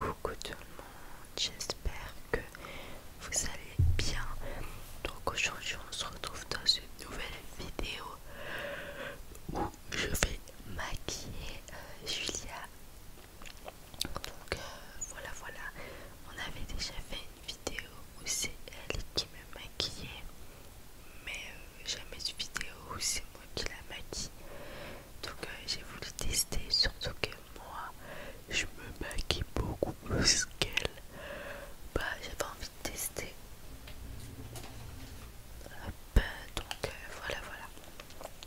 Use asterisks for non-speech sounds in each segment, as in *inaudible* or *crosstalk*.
Coucou tout le monde, j'espère que vous allez bien. Donc aujourd'hui on se retrouve dans une nouvelle vidéo où je vais maquiller euh, Julia. Donc euh, voilà voilà, on avait déjà fait une vidéo où c'est elle qui me maquillait, mais euh, jamais une vidéo où c'est moi qui la maquille. Donc euh, j'ai voulu tester, surtout que moi je me maquille beaucoup parce qu'elle. Bah j'avais envie de tester. donc euh, voilà voilà.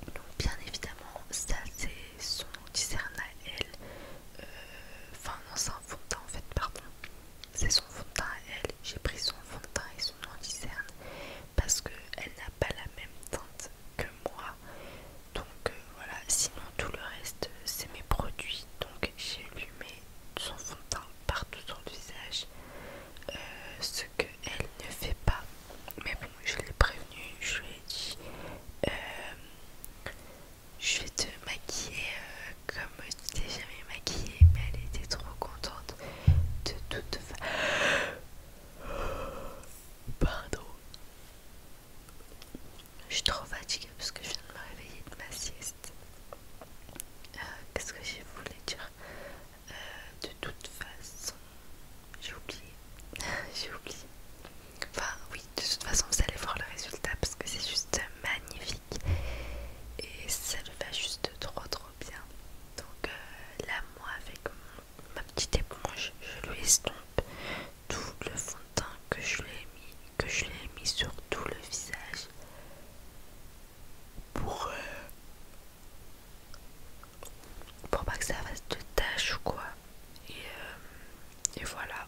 Donc bien évidemment ça c'est son discerne à elle. Euh, enfin non c'est un fond en fait pardon. C'est son fond de à elle. J'ai pris son fond de et son discerne parce qu'elle n'a pas la même teinte que moi donc euh, voilà sinon tout le reste c'est mes produits donc j'ai allumé son fond de teint partout sur le visage euh, ce qu'elle ne fait pas mais bon je l'ai prévenue je lui ai dit euh, je vais te maquiller comme tu t'es jamais maquillée mais elle était trop contente de toute façon Pardon. Je suis trop fatiguée parce que je viens de me réveiller de ma sieste. Euh, qu'est-ce que je voulais dire euh, De toute façon, j'ai oublié. *laughs* j'ai oublié. Enfin, oui, de toute façon, vous allez voir le résultat parce que c'est juste magnifique. Et ça le va juste trop trop bien. Donc l'amour euh, là, moi, avec ma petite éponge, je lui estompe tout le fond de teint que je lui ai mis, que je l'ai mis sur tout le visage pour, euh, pour pas que ça fasse de tâches ou quoi. Euh, et, voilà.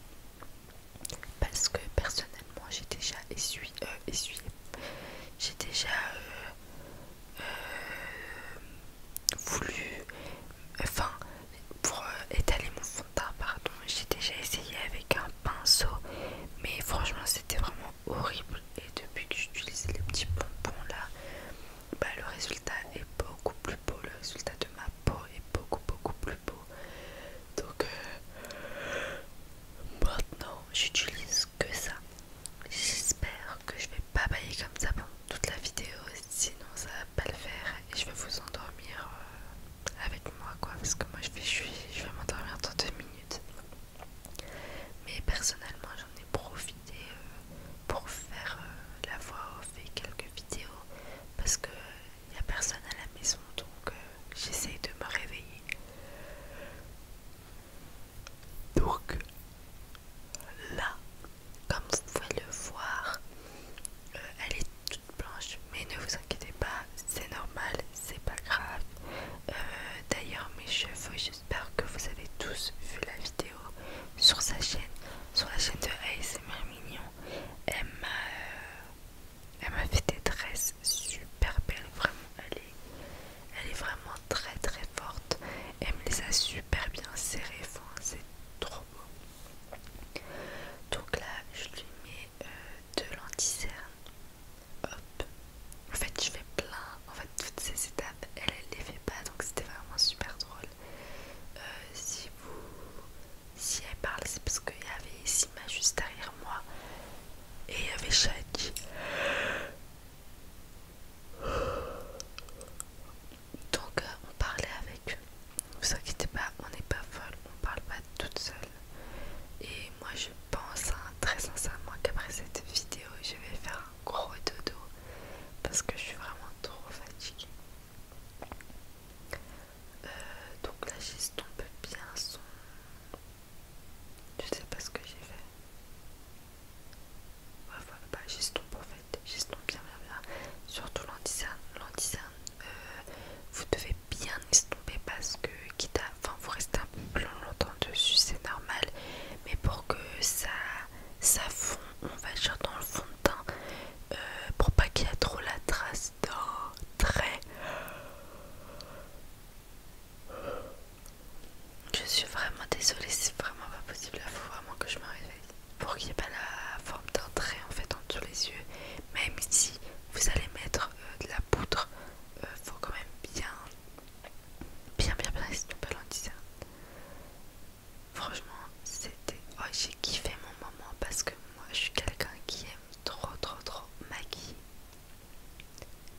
Parce que personnellement j'ai déjà essuyé, euh, j'ai déjà euh, voulu, enfin pour euh, étaler mon fond de teint, pardon, j'ai déjà essayé avec un pinceau, mais franchement c'était vraiment horrible. Et depuis que j'utilise les petits pompons là, bah, le résultat est beaucoup plus beau, le résultat de ma peau est beaucoup beaucoup plus beau. Donc euh, maintenant j'utilise que ça. J'espère que je vais pas bailler comme ça pendant toute la vidéo, sinon ça va pas le faire et je vais vous endormir euh, avec moi quoi parce que moi je vais, je, vais m'endormir dans deux minutes. Mais personnellement j'en ai profité euh, pour faire euh, la voix off et quelques vidéos parce que il n'y a personne à la maison donc j'essaye de me réveiller. Donc là, comme vous pouvez le voir, euh, elle est toute blanche, mais ne vous inquiétez pas, c'est normal, c'est pas grave. Euh, d'ailleurs, mes cheveux, j'espère que vous avez tous vu la vidéo sur sa chaîne, sur la chaîne de ASMR Mignon. Elle m'a fait des tresses super belles, vraiment. Elle elle est vraiment très très forte. Elle me les a super bien serrées. c'est trop beau. Donc là, je lui mets euh, de l'anticerne. Hop. En fait, je fais plein. En fait, toutes ces étapes, elle ne les fait pas. Donc c'était vraiment super drôle. Euh, si vous... Si elle parle, c'est parce qu'il y avait Sima juste derrière moi. Et il y avait Shadi. Donc euh, on parlait avec eux. vous inquiétez pas, on n'est pas folle, on parle pas toute seule. Et moi je pense hein, très sincèrement qu'après cette vidéo, je vais faire un gros dodo parce que je suis vraiment trop fatiguée. Euh, donc là j'estompe bien son... Je sais pas ce que j'ai fait j'estompe bah, en fait j'estompe bien, bien, bien. Surtout l'anticerne, euh, vous devez bien estomper parce que, quitte à, enfin, vous restez un peu plus longtemps dessus, c'est normal, mais pour que ça, ça fond, on va dire dans le fond de teint, euh, pour pas qu'il y ait trop la trace d'un très je suis vraiment désolée, c'est vraiment pas possible. Il faut vraiment que je me réveille. Pour qu'il n'y ait pas la forme d'entrée en fait entre les yeux. Même si vous allez mettre euh, de la poudre, il euh, faut quand même bien, bien, bien, bien essayer de Franchement, c'était. Oh, j'ai kiffé mon moment parce que moi je suis quelqu'un qui aime trop, trop, trop maquiller.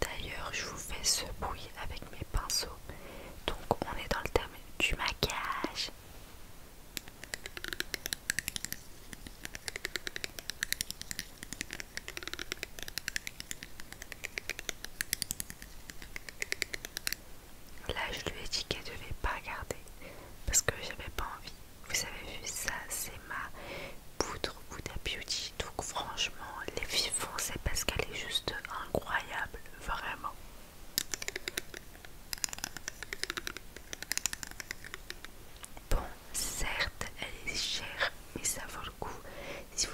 D'ailleurs, je vous fais ce bruit avec mes pinceaux. Donc, on est dans le thème du maquillage. Là, je lui ai dit qu'elle devait pas garder parce que j'avais pas envie. Vous avez vu ça, c'est ma poudre Buddha Beauty. Donc franchement, les vivants, c'est parce qu'elle est juste incroyable, vraiment. Bon, certes, elle est chère, mais ça vaut le coup si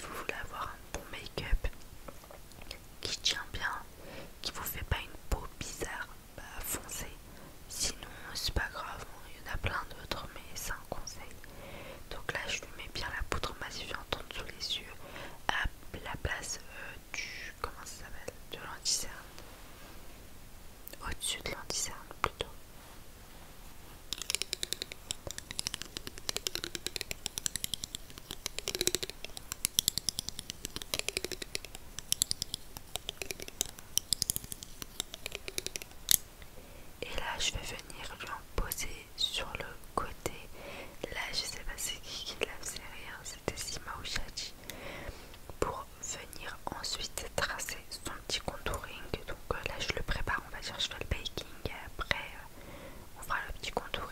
vous voulez avoir un bon make-up qui tient bien, qui vous fait pas une peau bizarre, foncée bah, foncez. Sinon, c'est pas grave, il y en a plein d'autres, mais c'est un conseil. Donc là, je lui mets bien la poudre massifiante en dessous les yeux, à la place euh, du. Comment ça s'appelle De l'anticerne. Au-dessus de l'anticerne plutôt. Et là, je vais venir lui en poser sur le côté. Là, je sais pas c'est qui qui l'a fait rire, c'était Sima ou Pour venir ensuite tracer son petit contouring. Donc euh, là, je le prépare, on va dire, je fais le baking après, euh, on fera le petit contouring.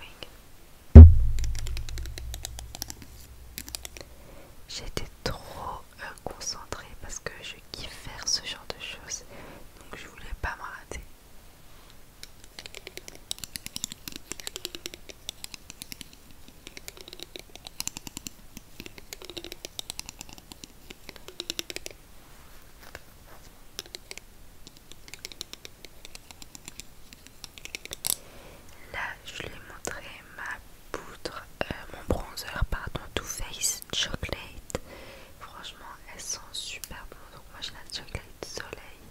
J'étais trop euh, concentrée parce que je kiffe faire ce genre de choses, donc je voulais pas me rater. Là, je lui ai montré ma poudre, euh, mon bronzer, pardon, Too Faced Chocolate. Franchement, elle sent super bon. Donc, moi, j'ai la Chocolate Soleil.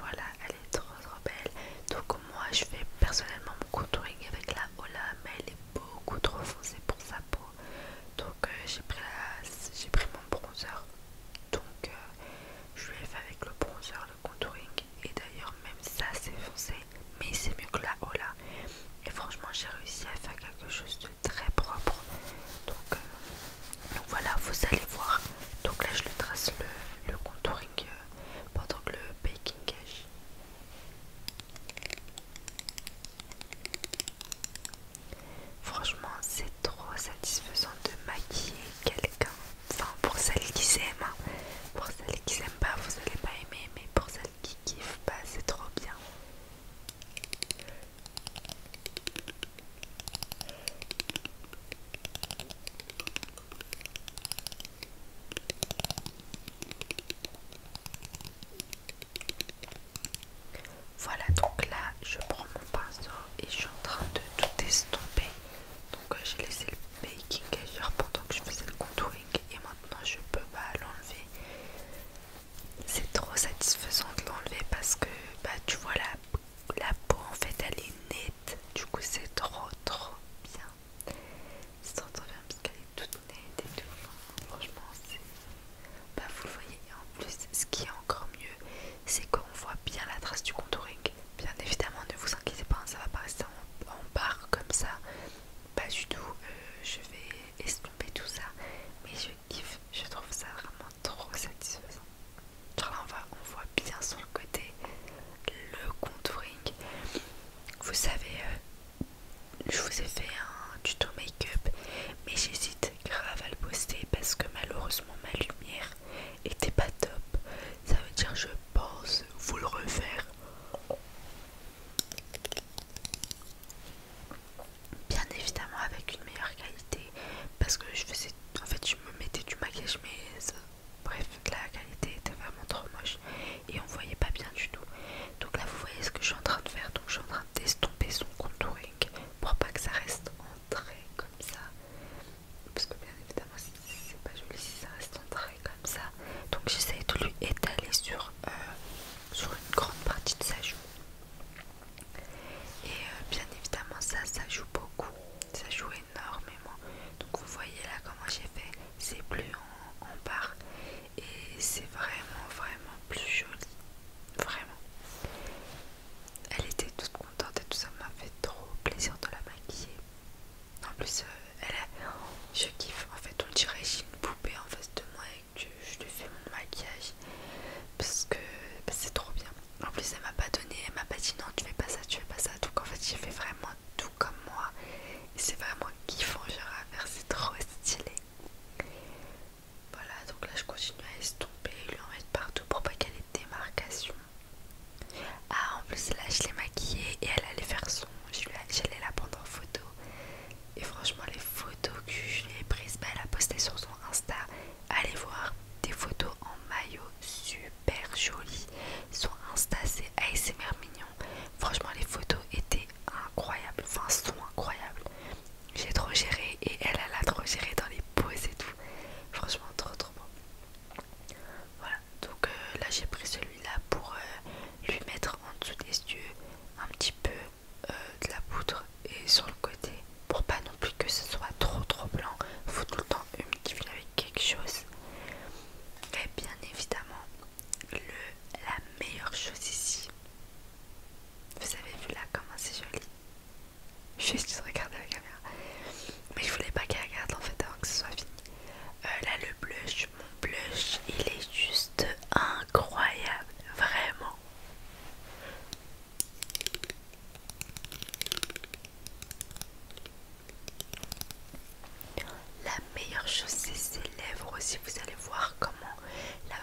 Voilà, elle est trop trop belle. Donc, moi, je fais personnellement mon contouring avec la Ola, mais elle est beaucoup trop foncée pour sa peau. Donc, euh, j'ai pris, J'ai pris mon bronzer donc euh, je lui ai fait avec le bronzer, le contouring et d'ailleurs même ça c'est foncé mais c'est mieux que la là Et franchement j'ai réussi à faire quelque chose de très propre. Donc, euh, voilà vous allez voir. Donc là je le trace le, contouring euh, pendant que le baking cache. Franchement, c'est trop satisfaisant de maquiller quelqu'un. Enfin, pour celles qui s'aiment, hein. pour celles qui s'aiment pas, vous allez pas aimer, mais pour celles qui kiffent, pas, c'est trop bien. Voilà, donc là je prends mon pinceau et je suis en train de tout estomper. Donc euh, j'ai laissé le baking agir pendant que je faisais le contouring et maintenant je peux pas l'enlever. C'est trop satisfaisant de l'enlever parce que bah tu vois la, la peau en fait elle est nette. Du coup c'est trop trop bien. C'est trop trop bien parce qu'elle est toute nette et tout. Franchement c'est bah vous le voyez, en plus ce qui est encore mieux, c'est qu'on voit bien la trace du contouring. Bien évidemment, ne vous inquiétez pas, ça va pas rester en, barre comme ça. Pas du tout, euh, je vais estomper tout ça, mais je kiffe, je trouve ça vraiment trop satisfaisant. Genre là on, va, on voit bien sur le côté le contouring. Vous savez, euh, je vous ai fait un tuto make-up, mais j'hésite grave à le poster parce que malheureusement ma lumière était pas top. Ça veut dire je pense vous le refaire. Bien évidemment avec une meilleure qualité parce que je faisais en fait je me mettais du maquillage mais bref la qualité était vraiment trop moche et on voyait pas bien du tout. Donc là vous voyez ce que je suis en train de faire donc je suis en train d'estomper son contouring pour pas que ça reste en très comme ça parce que bien évidemment c'est pas joli si ça reste un trait comme ça donc j'essaie de lui étaler sur, euh, sur une grande partie de sa joue et euh, bien évidemment ça ça joue beaucoup ça joue énormément donc vous voyez là comment j'ai fait c'est plus en, en barre et c'est vraiment vraiment plus joli vraiment elle était toute contente et tout ça m'a fait trop plaisir de la maquiller. En plus, euh, elle a... je kiffe. En fait, on dirait que j'ai une poupée en face de moi et que je lui fais mon maquillage. Parce que c'est trop bien. En plus, elle m'a pas donné, elle m'a pas dit non, tu fais pas ça, tu fais pas ça. Donc en fait, j'ai fait vraiment tout comme moi. Et c'est vraiment kiffant, Je à vers c'est trop stylé. Voilà, donc là je continue à estomper lui en mettre partout pour pas qu'elle ait des démarcations Ah, en plus là je l'ai maquillée et elle allait faire son. J'allais la prendre en photo. Et franchement, les photos que je lui ai prises, bah, elle a posté sur son Insta. Allez voir des photos en maillot super jolies. Son Insta, c'est ASMR mignon. Franchement, les photos étaient incroyables. Enfin, sont incroyables j'ai trop géré et elle, elle a trop géré dans les poses et tout. Franchement, trop trop bon. Voilà, donc euh, là j'ai pris celui-là pour euh, lui mettre en dessous des yeux un petit peu euh, de la poudre et sur le côté pour pas non plus que ce soit trop trop blanc. Faut tout le temps humidifier avec quelque chose. Et bien évidemment, le, la meilleure chose ici, vous avez vu là comment c'est joli. Juste regarder la caméra. Mais je voulais pas qu'elle regarde en fait avant que ce soit fini. Euh, là le blush, mon blush, il est juste incroyable, vraiment. La meilleure chose c'est ses lèvres aussi, vous allez voir comment la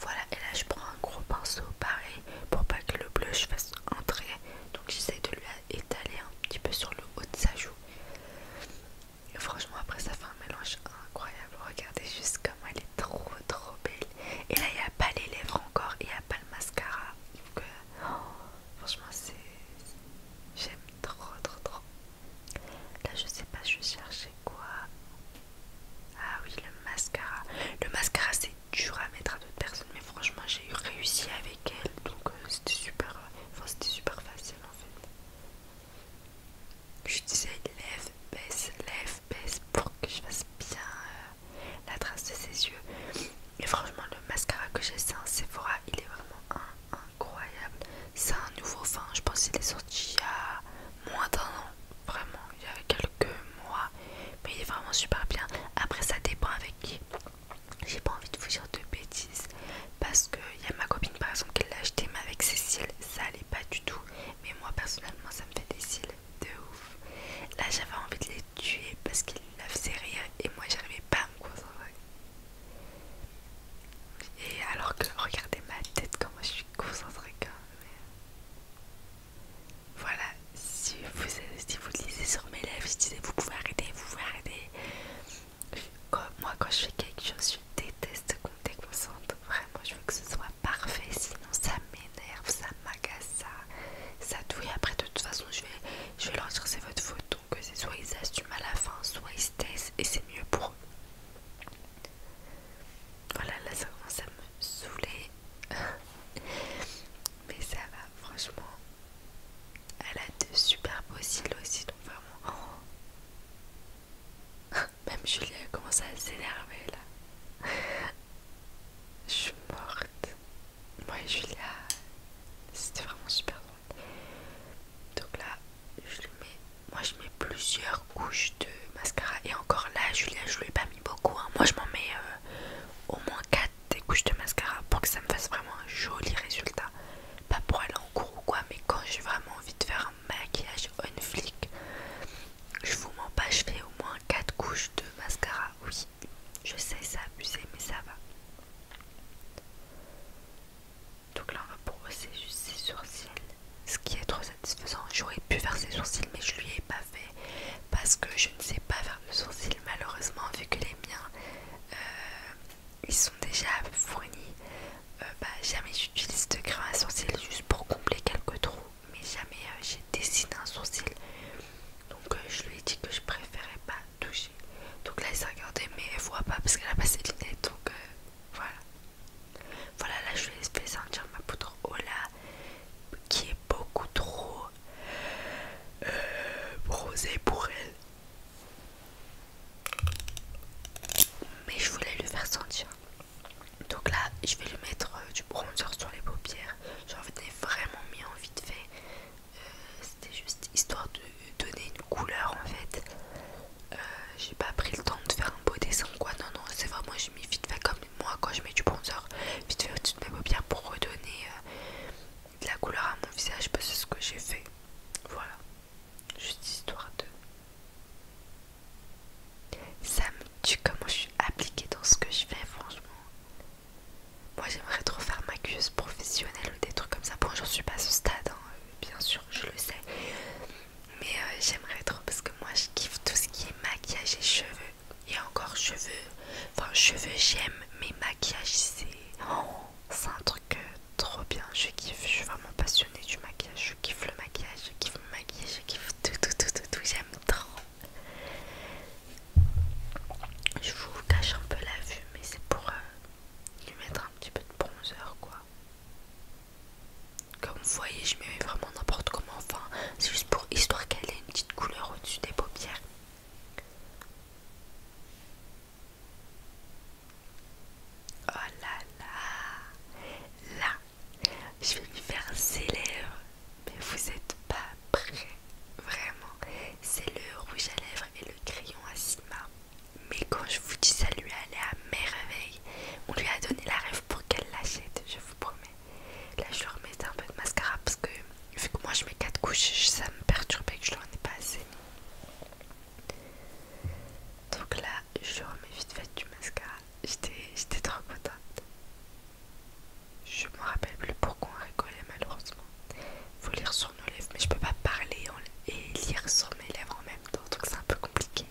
Voilà, et là je prends un gros pinceau pareil pour pas que le bleu je fasse entrer. Donc j'essaie de lui étaler un petit peu sur le haut de sa joue. Et franchement, après ça fait un mélange incroyable. Regardez juste comme elle est trop trop belle. Et là, il n'y a pas les lèvres encore, il n'y a pas le mascara. Euh, oh, franchement, c'est. J'aime trop trop trop. Là, je sais pas, je cherchais quoi. Ah oui, le mascara. Le mascara, c'est dur à mettre à d'autres personnes, mais franchement, j'ai réussi avec elle, donc euh, c'était super, euh, enfin, c'était super facile en fait. Je disais lève, baisse, lève, baisse pour que je fasse bien euh, la trace de ses yeux. Et franchement, le mascara que j'ai, c'est un Sephora, il est vraiment un, incroyable. C'est un nouveau vin, je pense qu'il est sorti il y a moins d'un an, vraiment, il y a quelques mois. Mais il est vraiment super bien. Après, ça dépend avec qui. J'ai pas envie de vous dire de bêtises parce que il y a ma copine par exemple qui l'a acheté, mais avec ses cils, ça allait pas du tout. Mais moi personnellement, ça me fait des cils de ouf. Là, j'avais envie de les tuer parce qu'ils la faisaient rire et moi, j'arrivais pas à me concentrer. Et alors que regardez ma tête, comment je suis concentrée quand même. Voilà, si vous, si vous lisez sur mes lèvres, je disais vous pouvez arrêter, vous pouvez arrêter. moi quand je fais quelque chose, je déteste qu'on déconcentre. Vraiment, je veux que ce soit parfait, sinon ça m'énerve, ça m'agace, ça, ça douille. Après de toute façon, je vais, je vais leur votre photo, que c'est soit ils assument à la fin, soit ils se et c'est mieux pour eux. Voilà, là ça commence à me saouler. *laughs* Mais ça va, franchement. Elle a de super cils aussi, donc vraiment. *laughs* Même Julia commence à s'énerver là. *laughs* Je suis morte. Moi Julia, c'était vraiment super drôle. Donc là, je mets, moi je mets plusieurs couches de mascara. Et encore là, Julia, je l'ai l'ai pas mis beaucoup. Hein. Moi je m'en mets euh, au moins 4 des couches de mascara pour que ça me fasse vraiment un joli résultat. Pas pour aller en cours ou quoi, mais quand j'ai vraiment envie de faire un maquillage on flic, je vous mens pas, je fais au moins 4 couches de mascara. Oui, je sais, c'est abusé, mais ça va. Donc là, on va brosser juste ses sourcils. Ce qui est trop satisfaisant. J'aurais pu faire ses sourcils, mais je lui ai pas fait. Parce que je ne sais pas faire de sourcils, malheureusement, vu que les miens, euh, ils sont déjà fournis. Euh, bah, jamais j'utilise de grains à sourcils juste pour combler quelques trous. Mais jamais euh, j'ai dessiné un sourcil. Donc je lui ai dit que je préférais pas touché. Donc là, elle s'est regardée, mais elle voit pas parce qu'elle a passé le Donc euh, voilà. Voilà, là, je vais laisser sentir ma poudre Ola qui est beaucoup trop euh, pour elle. Mais je voulais lui faire sentir. Donc là, je vais lui mettre euh, du bronzer sur les paupières. J'en ai vraiment mis envie de fait euh, c'était juste histoire de donner une couleur en fait. Euh, j'ai pas pris le temps de faire un beau dessin quoi. Non, non, c'est vraiment, je mis vite fait comme moi quand je mets du bronzer, vite fait au-dessus de mes paupières pour redonner euh, de la couleur à mon visage parce que c'est ce que j'ai fait. Voilà, juste histoire de. Ça me tue comment je suis appliquée dans ce que je fais, franchement. Moi j'aimerais trop faire ma cuisse professionnelle ou des trucs comme ça. Bon, j'en suis pas à ce stade, hein. Euh, bien sûr, je le sais. Mais euh, j'aimerais trop parce que moi je kiffe tout ce qui est maquillage et cheveux. Et encore cheveux. Enfin, cheveux j'aime, mais maquillage c'est. Oh, un truc euh, trop bien. Je kiffe, je suis vraiment passionnée du maquillage. Je kiffe le maquillage, je kiffe mon maquillage, je kiffe tout, tout, tout, tout, tout. J'aime trop. Je vous cache un peu la vue, mais c'est pour lui mettre un petit peu de bronzer quoi. Comme vous voyez, je mets vraiment n'importe comment. Enfin, c'est juste pour histoire qu'elle ait une petite couleur au-dessus des paupières. Oh là là, là, je vais lui faire ses lèvres, mais vous êtes pas prêt, vraiment. C'est le rouge à lèvres et le crayon à Sigma. Mais quand je vous dis ça lui allé à merveille, on lui a donné la rêve pour qu'elle l'achète, je vous promets. Là je remets un peu de mascara parce que vu que moi je mets 4 couches, ça me perturbait que je leur ai pas assez. Donc là je remets vite fait du mascara, j'étais trop contente. Je me rappelle plus pourquoi on rigolait malheureusement faut lire sur nos lèvres, mais je peux pas parler et lire sur mes lèvres en même temps, donc c'est un peu compliqué.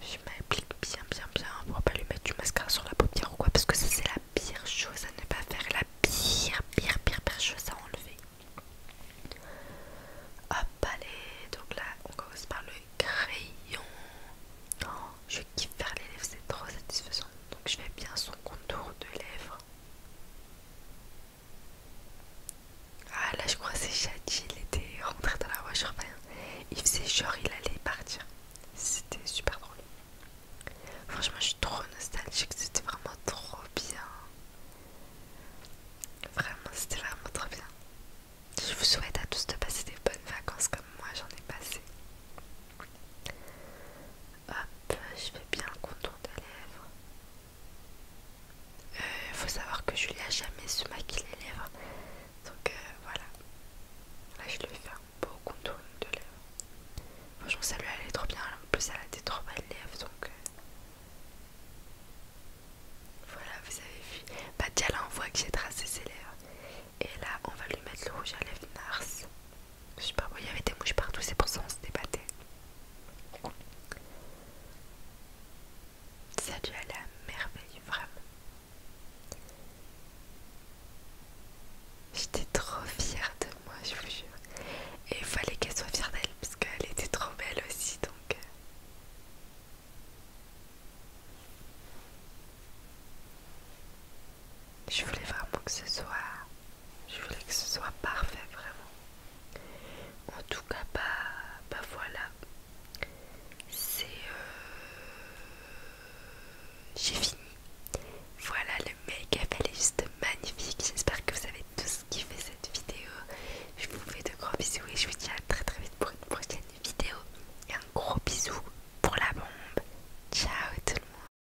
Je m'applique bien, bien, bien. On pourra pas lui mettre du mascara sur la paupière ou quoi, parce que ça c'est la pire chose à ne pas faire, la pire, pire, pire, pire chose à enlever. Hop, allez, donc là on commence par le crayon. Oh, je kiffe faire les lèvres, c'est trop satisfaisant. Donc je fais bien son contour de lèvres. Ah là je crois c'est Shadi, il était rentré dans la voiture, il faisait genre il allait partir. C'était super drôle. Franchement je suis trop nostalgique, c'était vraiment trop bien. Vraiment c'était vraiment trop bien. Je vous souhaite à tous de passer des bonnes vacances comme moi j'en ai passé. Hop, je fais bien le contour des lèvres. Il faut savoir que Julia jamais se maquille les lèvres. Donc euh, voilà. Là je lui fais un beau contour de lèvres. Franchement celle-là elle est trop bien. En plus elle a des trop belles lèvres. Donc euh. voilà, vous avez vu. Bah déjà là on voit que j'ai tracé ses lèvres. Et là on va lui mettre le rouge à lèvres Nars. Je sais pas, il y avait des mouches partout, c'est pour ça qu'on se débattait. Ça à la à merveille, vraiment. J'étais trop fière de moi, je vous jure. Et il fallait qu'elle soit fière d'elle, parce qu'elle était trop belle aussi, donc... Euh. Je voulais vraiment que ce soit... Je voulais que ce soit parfait, vraiment. En tout cas, bah, bah voilà. C'est... Euh, j'ai fini. Voilà le make-up, elle est juste magnifique. J'espère que vous avez tous kiffé cette vidéo. Je vous fais de gros bisous et je vous dis à très très vite pour une prochaine vidéo. Et un gros bisou pour la bombe. Ciao tout le monde.